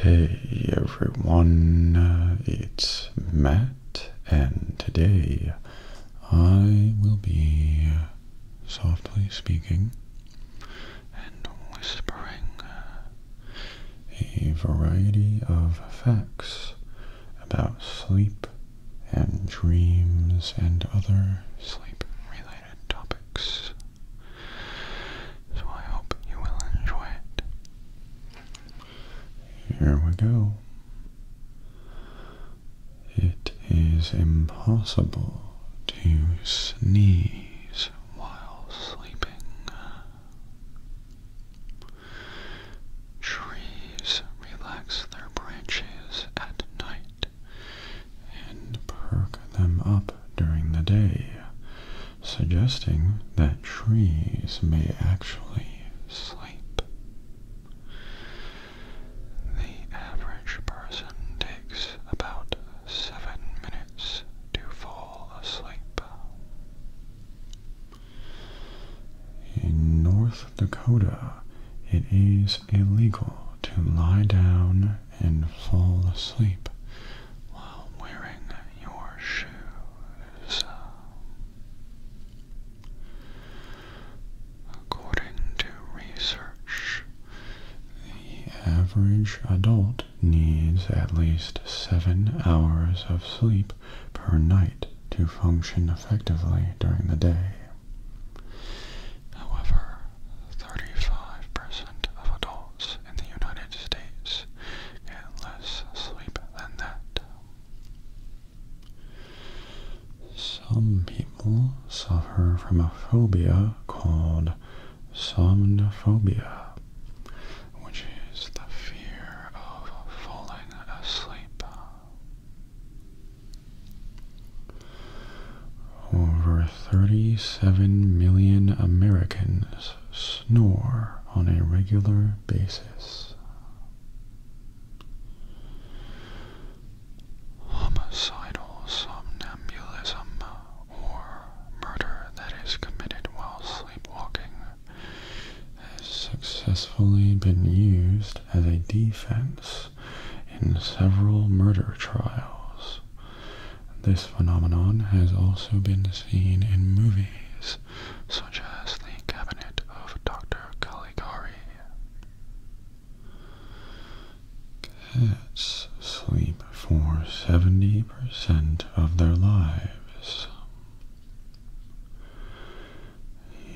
Hey everyone, it's Matt, and today I will be softly speaking and whispering a variety of facts about sleep and dreams and other sleep related topics. So I hope you will enjoy it. Here we go. It is impossible to sneeze while sleeping. Trees relax their branches at night and perk them up during the day, suggesting that trees may actually sleep. The average person takes about seven minutes to fall asleep. In North Dakota, it is is illegal to lie down and fall asleep while wearing your shoes. According to research, the average adult needs at least seven hours of sleep per night to function effectively during the day. However, 35% of adults in the United States get less sleep than that. Some people suffer from a phobia called somnophobia, which is the fear of falling asleep. Over 37 million Americans snore on a regular basis. Homicidal somnambulism or murder that is committed while sleepwalking has successfully been used as a defense in several murder trials. This phenomenon has also been seen in movies such as The Cabinet of Dr. Caligari. Cats sleep for 70% of their lives.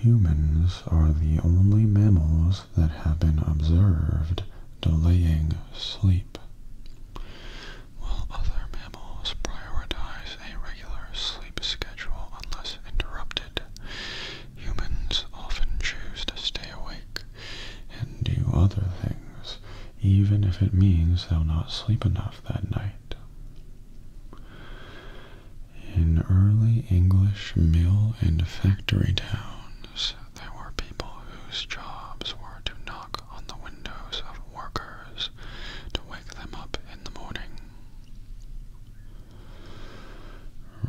Humans are the only mammals that have been observed delaying sleep. While other mammals prioritize a regular sleep schedule unless interrupted, humans often choose to stay awake and do other things, even if it means they'll not sleep enough that night. In early English mill and factory town, there were people whose jobs were to knock on the windows of workers to wake them up in the morning.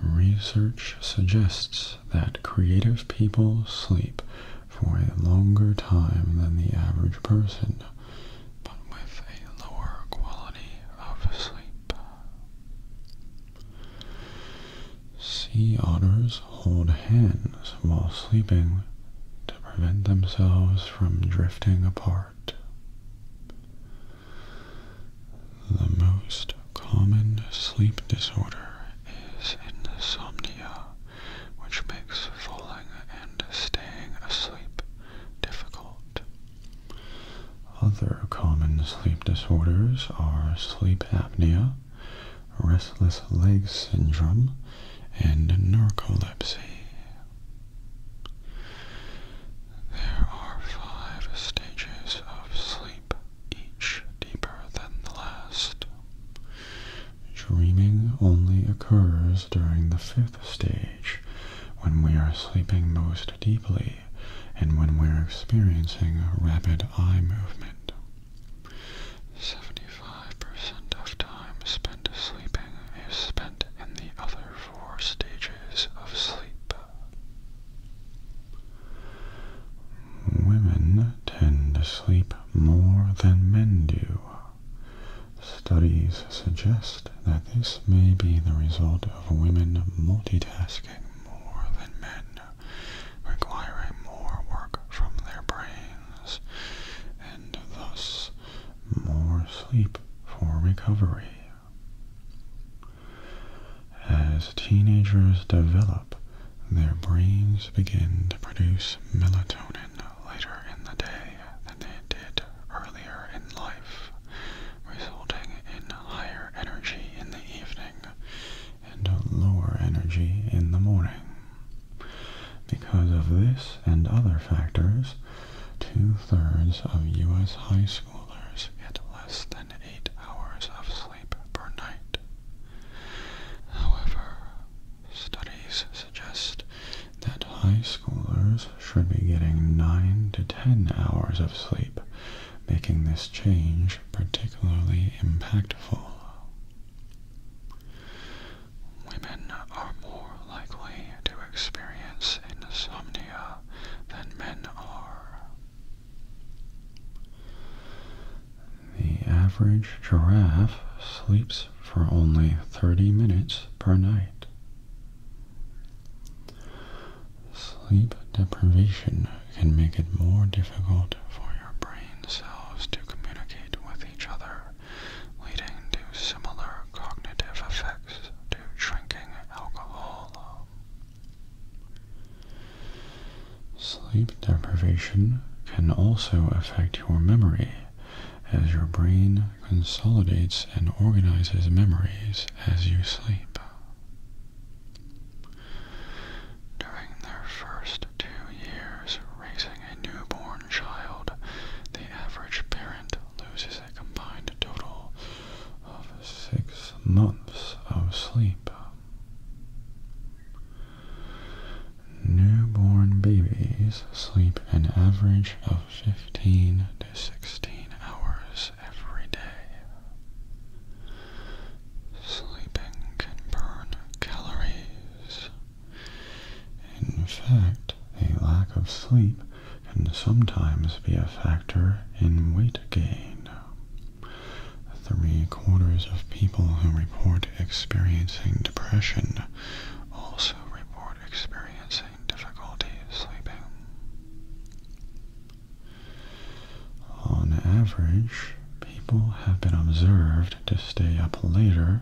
Research suggests that creative people sleep for a longer time than the average person, but with a lower quality of sleep. Sea otters hold hands while sleeping to prevent themselves from drifting apart. The most common sleep disorder is insomnia, which makes falling and staying asleep difficult. Other common sleep disorders are sleep apnea, restless leg syndrome, and narcolepsy. There are five stages of sleep, each deeper than the last. Dreaming only occurs during the fifth stage, when we are sleeping most deeply and when we're experiencing rapid eye movement. 75% of time spent sleeping is spent in the other four stages of sleep. Women tend to sleep more than men do. Studies suggest that this may be the result of women multitasking more than men, requiring more work from their brains, and thus more sleep for recovery. As teenagers develop, their brains begin to produce melatonin later in the day than they did earlier in life resulting in higher energy in the evening and lower energy in the morning. Because of this and other factors, two-thirds of U.S. high schoolers get less than eight hours of sleep per night. However, studies suggest that high schoolers should be getting 9 to 10 hours of sleep making this change particularly impactful. Women are more likely to experience insomnia than men are. The average giraffe sleeps for only 30 minutes per night. Sleep deprivation can make it more difficult for your brain cells to communicate with each other, leading to similar cognitive effects to drinking alcohol. Sleep deprivation can also affect your memory, as your brain consolidates and organizes memories as you sleep. During their first two years raising a newborn child, the average parent loses a combined total of six months of sleep. Newborn babies sleep an average of 15 to 16 hours every day. Sleeping can burn calories. In fact, a lack of sleep can sometimes be a factor in weight gain. Three quarters of people who report experiencing depression also report experiencing difficulty sleeping. On average, people have been observed to stay up later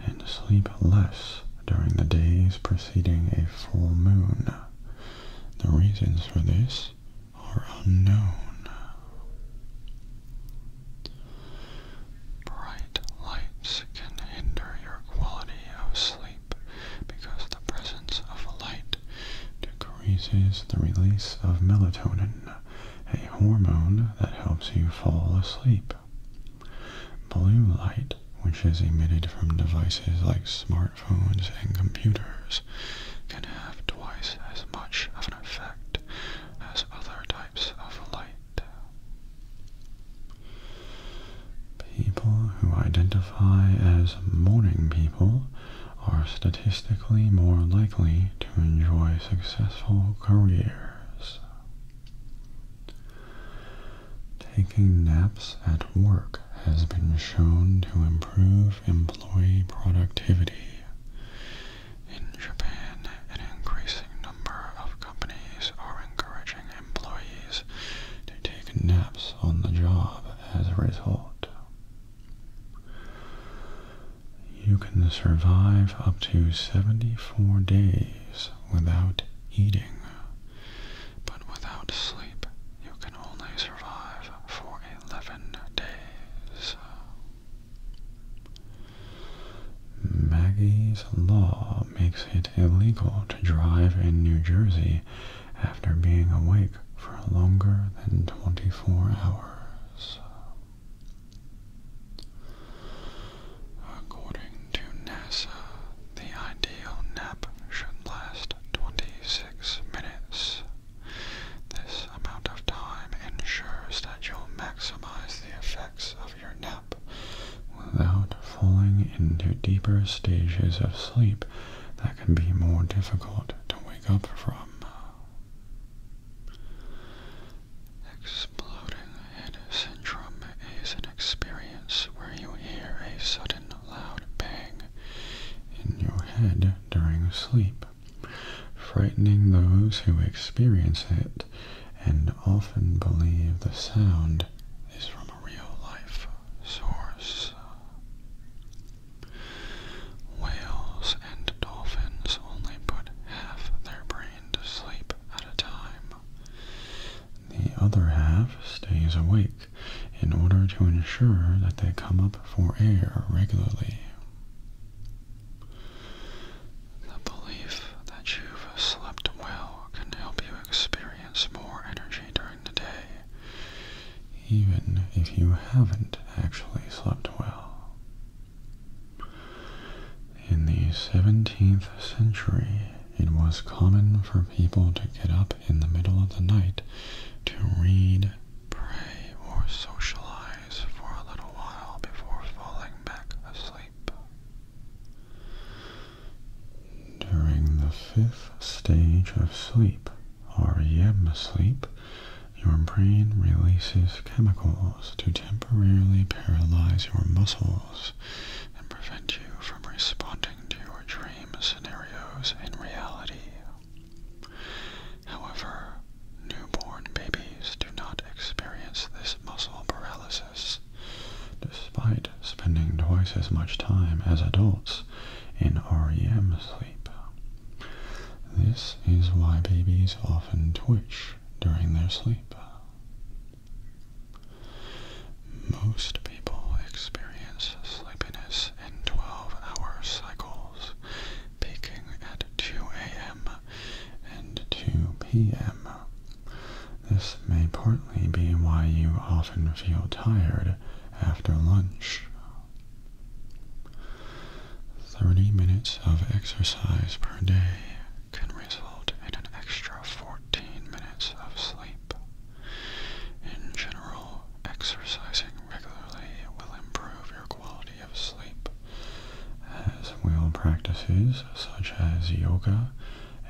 and sleep less during the days preceding a full moon. The reasons for this are unknown. Bright lights can hinder your quality of sleep because the presence of light decreases the release of melatonin, a hormone that helps you fall asleep. Blue light, which is emitted from devices like smartphones and computers, can have twice as much of an effect as other types of light. People who identify as morning people are statistically more likely to enjoy successful careers. Taking naps at work has been shown to improve employee productivity. In Japan, an increasing number of companies are encouraging employees to take naps on the job as a result. You can survive up to 74 days without eating, but without sleep you can only survive for 11 days. Maggie's Law makes it illegal to drive in New Jersey after being awake for longer than 24 hours. According to NASA, the ideal nap should last 26 minutes. This amount of time ensures that you'll maximize the effects your nap without falling into deeper stages of sleep that can be more difficult to wake up from. Exploding head syndrome is an experience where you hear a sudden loud bang in your head during sleep, frightening those who experience it and often believe the sound is from a real life source. Whales and dolphins only put half their brain to sleep at a time. The other half stays awake in order to ensure that they come up for air regularly. The belief that you've slept well can help you experience more energy during the day, even if you haven't actually slept well. In the 17th century, it was common for people to get up in the middle of the night to read, pray, or socialize for a little while before falling back asleep. During the fifth stage of sleep, REM sleep, your brain releases chemicals to temporarily paralyze your muscles and prevent you from responding to your dream scenarios in reality. However, newborn babies do not experience this muscle paralysis despite spending twice as much time as adults in REM sleep. This is why babies often twitch during their sleep. Most people experience sleepiness in 12-hour cycles, peaking at 2 a.m and 2 p.m. This may partly be why you often feel tired after lunch. 30 minutes of exercise per day can result in an extra 14 minutes of sleep. In general, exercising regularly will improve your quality of sleep as well practices such as yoga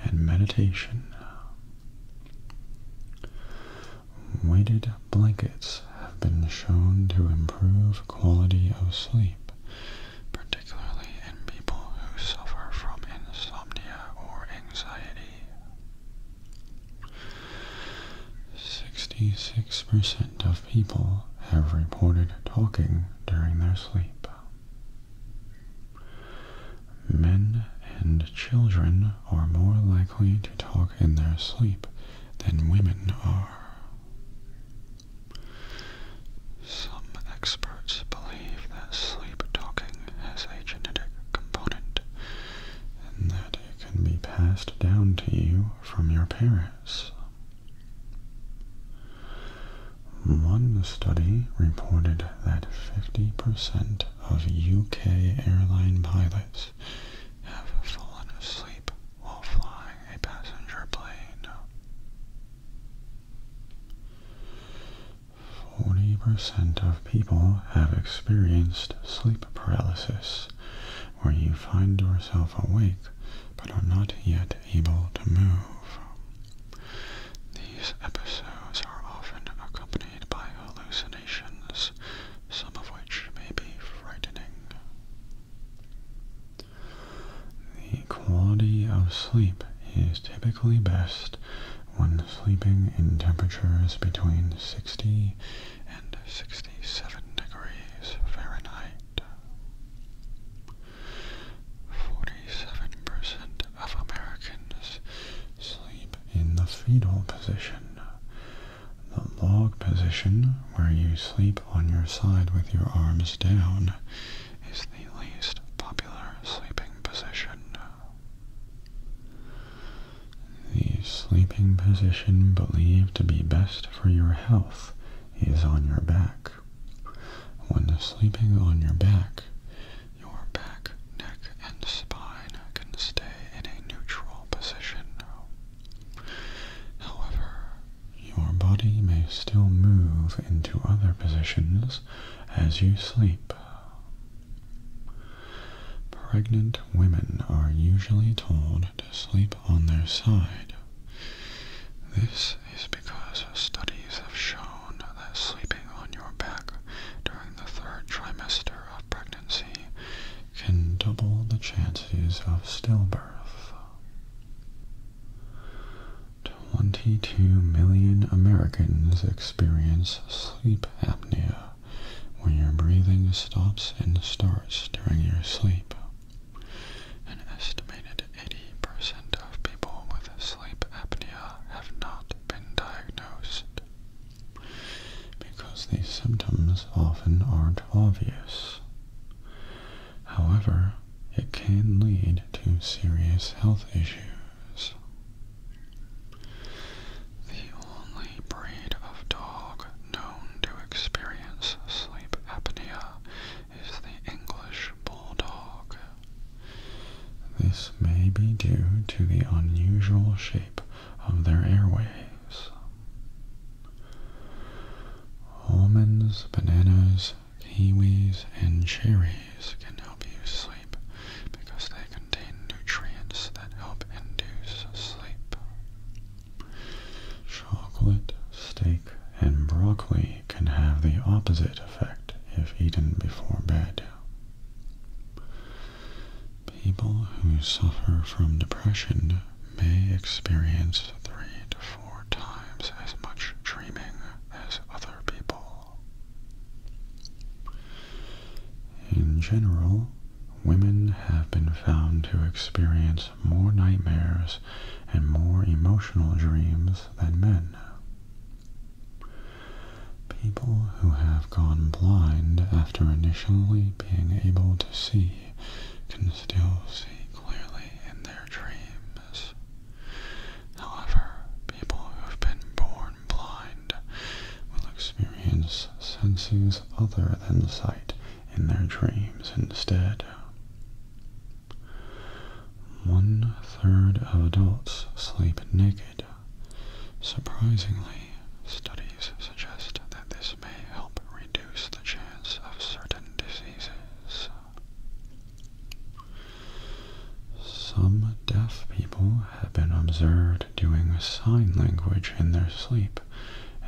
and meditation. Weighted blankets have been shown to improve quality of sleep, particularly in people who suffer from insomnia or anxiety. 66% of people have reported talking during their sleep. Men and children are more likely to talk in their sleep than women are. Some experts believe that sleep talking has a genetic component and that it can be passed down to you from your parents. One study reported that 50% of UK airline pilots have fallen asleep while flying a passenger plane. 40% of people have experienced sleep paralysis, where you find yourself awake but are not yet able to move. These episodes are often accompanied by hallucinations, some of which may be frightening. The quality of sleep is typically best when sleeping in temperatures between 60 and 67 degrees Fahrenheit. 47% of Americans sleep in the fetal position. The log position, where you sleep on your side with your arms down, is the least popular sleeping position. The sleeping position believed to be best for your health is on your back. When sleeping on your back, your back, neck, and spine can stay in a neutral position. However, your body may still move into other positions as you sleep. Pregnant women are usually told to sleep on their side. This is because studies have shown that sleeping on your back during the third trimester of pregnancy can double the chances of stillbirth. 22 million Americans experience sleep apnea when your breathing stops and starts during your sleep. An estimated 80% of people with sleep apnea have not been diagnosed because these symptoms often aren't obvious. However, it can lead to serious health issues. The only breed of dog known to experience sleep apnea is the English bulldog. This may be due to the unusual shape of their airways. Almonds, bananas, kiwis, and cherries can help you sleep because they contain nutrients that help induce sleep. Chocolate, steak, and broccoli can have the opposite effect if eaten before bed. People who suffer from depression may experience three to four times as much dreaming as other people. In general, women have been found to experience more nightmares, and more emotional dreams than men. People who have gone blind after initially being able to see can still see clearly in their dreams. However, people who have been born blind will experience senses other than sight in their dreams instead. One third of adults sleep naked. Surprisingly, studies suggest that this may help reduce the chance of certain diseases. Some deaf people have been observed doing sign language in their sleep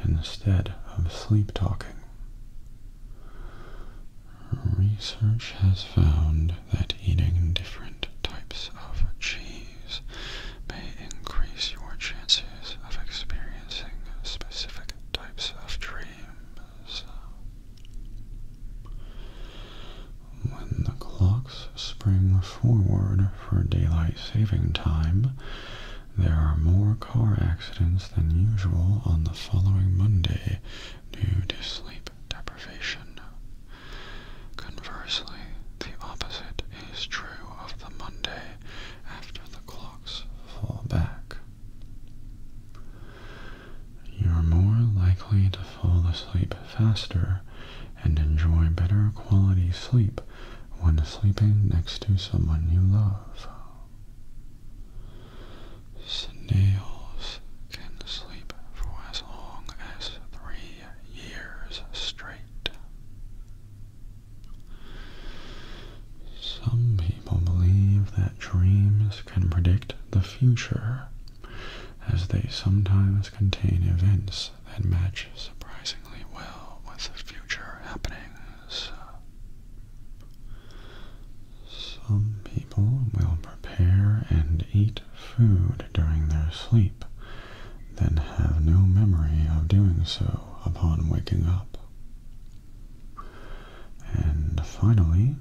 instead of sleep talking Research has found that eating different types of cheese may increase your chances of experiencing specific types of dreams. When the clocks spring forward for daylight saving time, there are more car accidents than usual on the following Monday due to sleep deprivation. Conversely, the opposite is true of the Monday after the clocks fall back. You're more likely to fall asleep faster and enjoy better quality sleep when sleeping next to someone you love. Snails can sleep for as long as three years straight. Some people believe that dreams can predict the future, as they sometimes contain events that match surprisingly well with future happening is some people will prepare and eat food during their sleep, then have no memory of doing so upon waking up. And finally,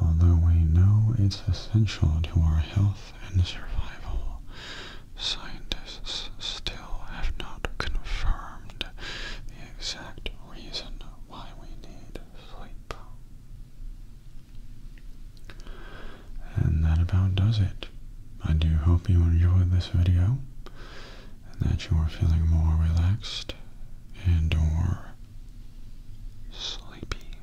although we know it's essential to our health and survival, Scientists still have not confirmed the exact reason why we need sleep. And that about does it. I do hope you enjoyed this video and that you are feeling more relaxed and or sleepy.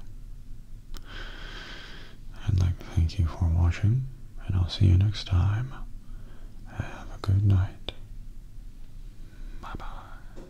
I'd like to thank you for watching and I'll see you next time. Have a good night. Bye bye.